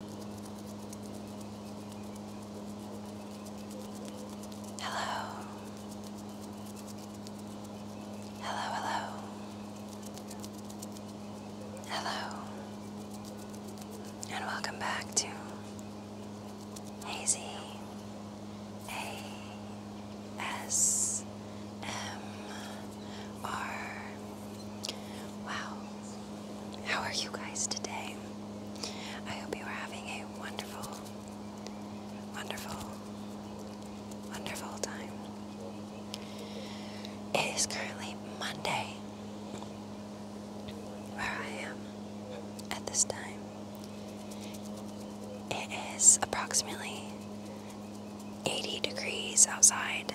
Hello. Hello, hello. Hello. And welcome back to Hazy A S M R Wow. How are you guys today? I hope you are having a wonderful, wonderful, wonderful time. It is currently Monday where I am at this time. It is approximately 80 degrees outside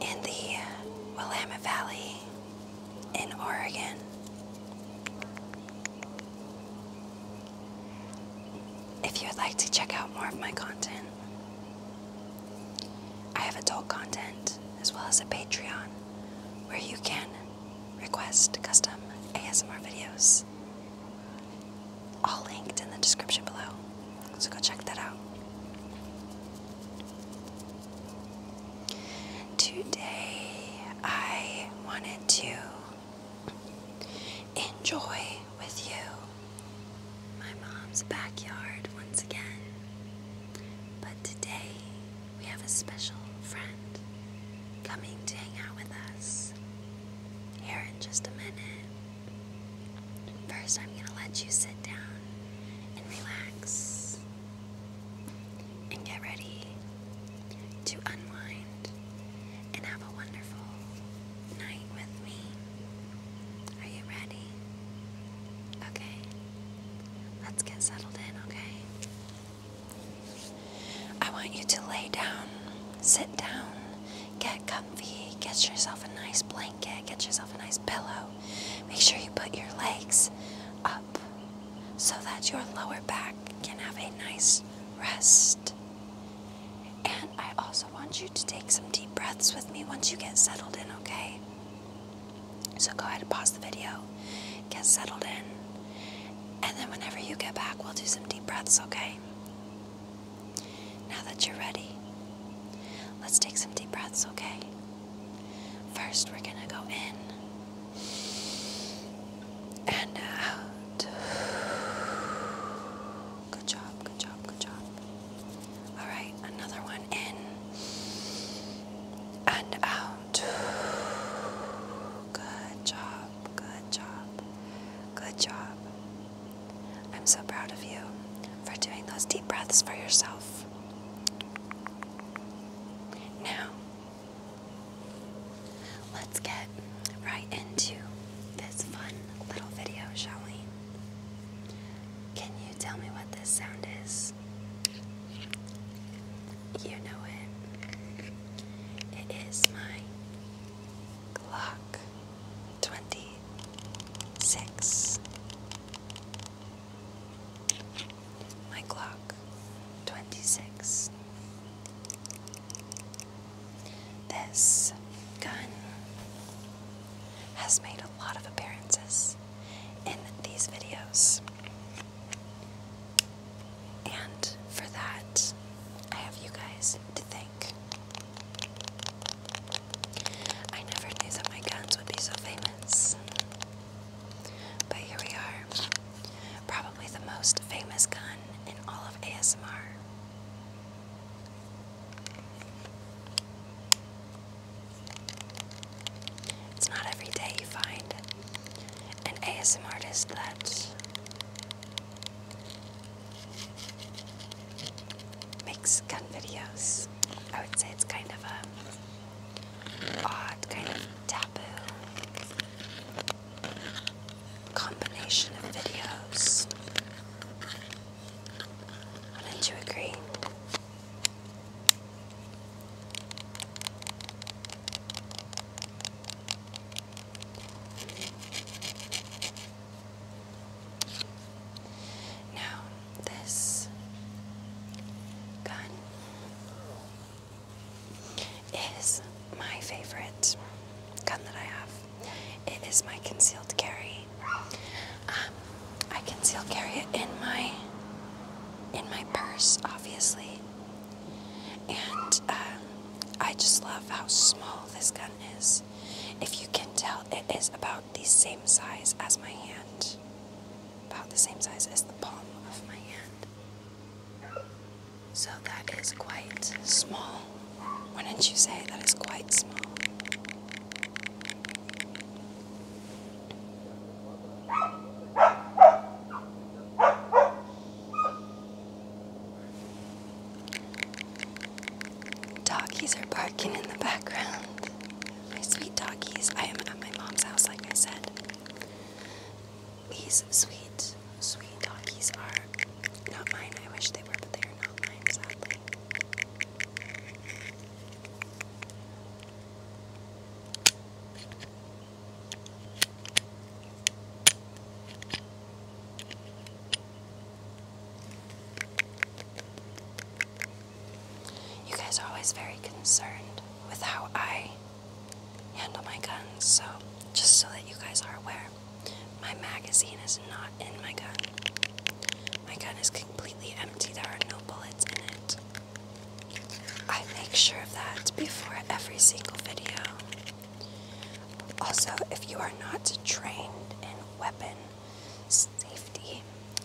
in the Willamette Valley in Oregon. If you would like to check out more of my content, I have adult content as well as a Patreon where you can request custom ASMR videos, all linked in the description below. So go check that out. Today, I wanted to enjoy with you my mom's backyard once again. But today, we have a special friend coming to hang out with us here in just a minute. First, I'm going to let you sit down and relax and get ready to unwind and have a wonderful night with me. Are you ready? Okay. Let's get settled in, okay? I want you to lay down, sit down, Get comfy, get yourself a nice blanket, get yourself a nice pillow. Make sure you put your legs up so that your lower back can have a nice rest. And I also want you to take some deep breaths with me once you get settled in, okay? So go ahead and pause the video, get settled in, and then whenever you get back, we'll do some deep breaths, okay? Now that you're ready, let's take some deep breaths, okay? First, we're gonna go in and out. Good job, good job, good job. Alright, another one in and out. Good job, good job, good job. I'm so proud of you for doing those deep breaths for yourself. Now, let's get right into this fun little video, shall we? Can you tell me what this sound is? You know it. It is my clock. 20 six. My clock, twenty six. This gun has made a lot of appearances in these videos. And for that, I have you guys to thank. I never knew that my guns would be so famous. But here we are. Probably the most famous gun in all of ASMR. It's not every day you find an ASM artist that makes gun videos. I would say it's kind of a odd, kind of taboo combination of videos. Wouldn't you agree? Now, this gun is my favorite gun that I have. It is my concealed carry. Um, I conceal carry it in my in my purse, obviously, and uh, I just love how small this gun is. If you can tell, it is about the same size as my hand. About the same size as the palm of my hand. So that is quite small. Why did not you say that is quite small? Doggies are barking in the background. My sweet doggies. I am at my mom's house, like I said. These sweet, sweet doggies are not mine. I wish they were, but they are not mine, sadly. You guys are always very concerned with how I handle my guns, so just so that you guys are aware, my magazine is not in my gun. My gun is completely empty, there are no bullets in it. I make sure of that before every single video. Also, if you are not trained in weapon safety,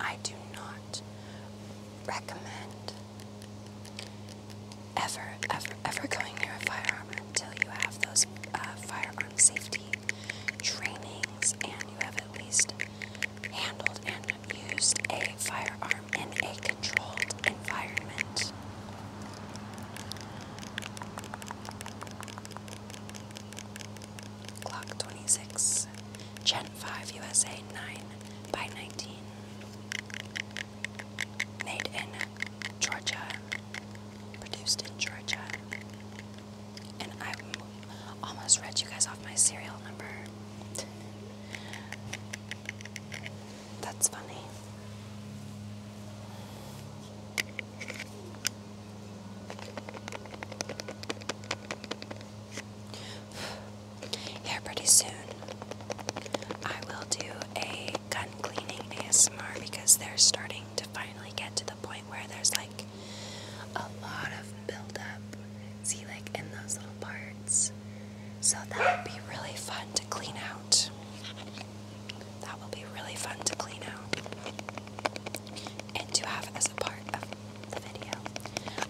I do not recommend ever, ever, ever going near a firearm until you have those uh, firearm safety trainings and you have at least handled and used a firearm in a controlled environment. Thanks. Clock 26, Gen 5 USA 9 by 19. Made in Georgia. Produced in Georgia. And I almost read you guys off my serial number. That's funny. Here, pretty soon, I will do a gun cleaning ASMR because they're starting to finally get to the point where there's like a lot of buildup. See, like in those little parts, so that would be really fun to clean out. That will be really fun to clean out and to have as a part of the video.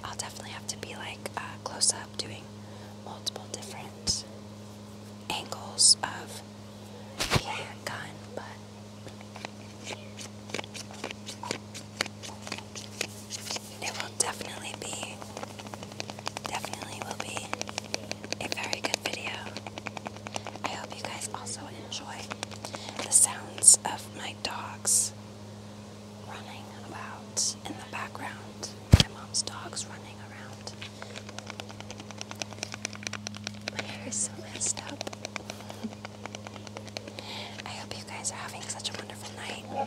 I'll definitely have to be like uh, close up doing multiple different angles of the handgun. but definitely be, definitely will be a very good video. I hope you guys also enjoy the sounds of my dogs running about in the background. My mom's dogs running around. My hair is so messed up. I hope you guys are having such a wonderful night.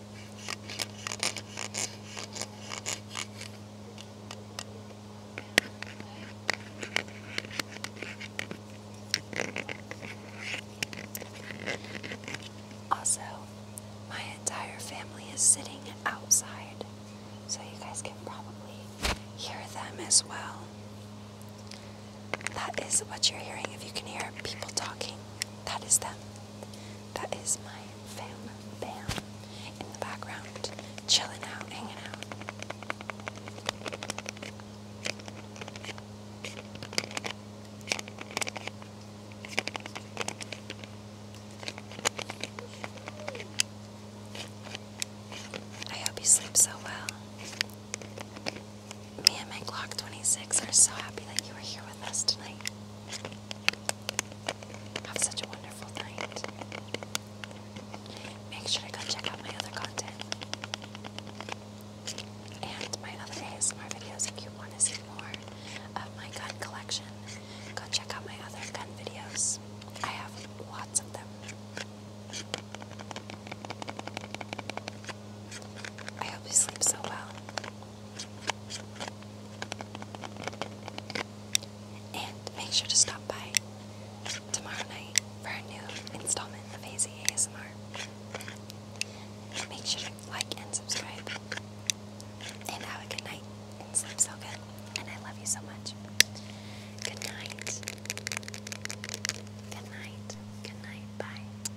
Also, my entire family is sitting outside, so you guys can probably hear them as well. That is what you're hearing if you can hear people talking. That is them. That is my family bam in the background, chilling out, hanging out. I hope you sleep so well. Me and my Glock 26 are so happy that you are here with us tonight. Have such a wonderful night. Make sure to go check out my other content and my other ASMR videos if you want to see more of my gun collection. Go check out my other gun videos. I have lots of them. I hope you sleep so well. And make sure to stop by tomorrow night for a new installment of Hazy ASMR. Make sure to like and subscribe. And have a good night and sleep so good. And I love you so much. Good night. Good night. Good night. Bye.